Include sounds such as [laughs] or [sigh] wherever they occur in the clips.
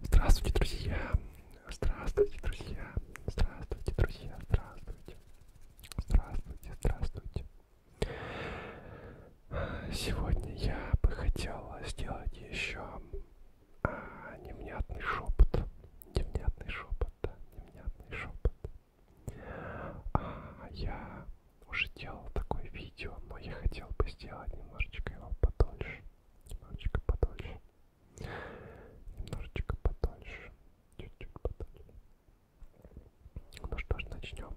Здравствуйте, друзья! Здравствуйте, друзья! Здравствуйте, друзья! Здравствуйте! Здравствуйте, здравствуйте! Сегодня я бы хотела сделать еще а, невнятный шепот. Невнятный шепот, да, невнятный шепот. А, я уже делал такое видео, но я хотел бы сделать немножечко его подольше. Немножечко подольше. Немножечко подольше. Чуть-чуть подольше. Ну что ж, начнем.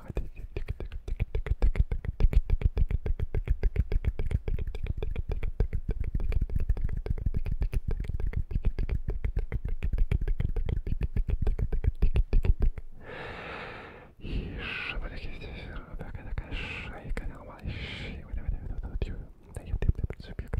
куда хотите. И шапочки здесь, такая такая шейка, нормальная вот это вот ее, да я тебе субъект,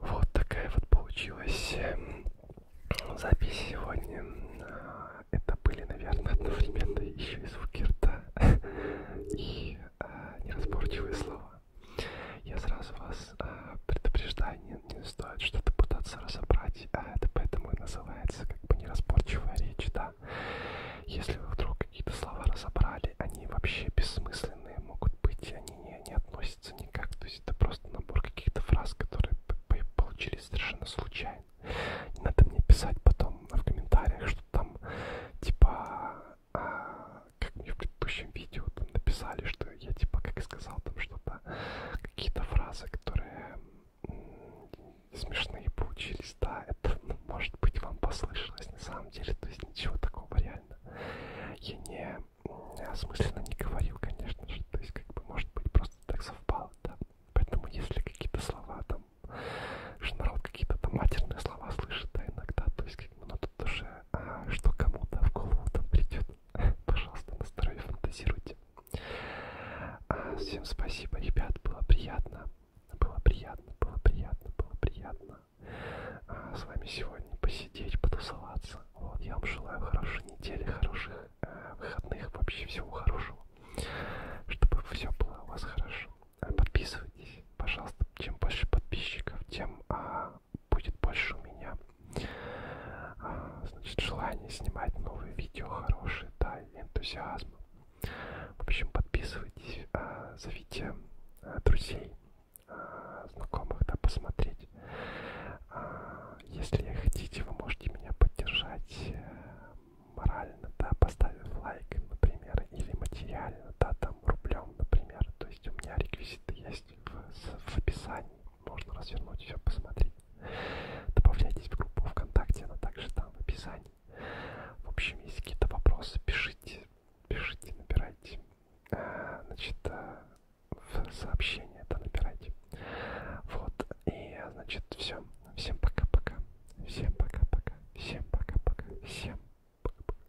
Вот такая вот получилась э, запись сегодня. Это были, наверное, одновременно еще и звуки рта [laughs] и э, неразборчивые слова. Я сразу вас э, предупреждаю, не, не стоит что-то пытаться разобрать, а это поэтому и называется как бы неразборчивая речь, да. Если вы вдруг какие-то слова разобрали, они вообще бессмысленные могут быть, они не, не относятся никак, то есть это просто набор каких-то фраз, которые получились совершенно случайно. Не надо мне писать потом в комментариях, что там типа а, как мне в предыдущем видео там написали, что я типа как сказал там что-то, какие-то фразы, которые смешные получились, да, это ну, может быть вам послышалось на самом деле, то есть ничего такого реально. Я не осмысленно не говорил, конечно же, то есть как бы может быть просто так совпало, да. Поэтому если какие-то слова там, что народ какие-то там матерные слова слышит, да, иногда, то есть как бы ну тут тоже, а, что кому-то в голову там придет. Пожалуйста, на здоровье фантазируйте. А, всем спасибо, ребят, было приятно. Было приятно, было приятно, было приятно а, с вами сегодня посидеть, потусоваться. Вот, я вам желаю хорошей недели, хороших э, выходных, вообще всего хорошего. Чтобы все было у вас хорошо. А, подписывайтесь, пожалуйста. Чем больше подписчиков, тем а, будет больше у меня а, значит, желание снимать новые видео хорошие, да, и энтузиазм. В общем, подписывайтесь, а, зовите а, друзей, знакомых, да, посмотреть. Если хотите, вы можете меня поддержать э, морально, да, поставив лайк, например, или материально, да, там рублем, например. То есть у меня реквизиты есть есть в, в описании можно развернуть все, посмотреть. Добавляйтесь в группу ВКонтакте, она также там в описании. В общем, если какие-то вопросы, пишите, пишите, набирайте. Э, значит, э, в сообщение это набирайте. Вот, и, значит, все. Всем пока-пока. Всем пока-пока. Всем пока-пока. Всем пока-пока.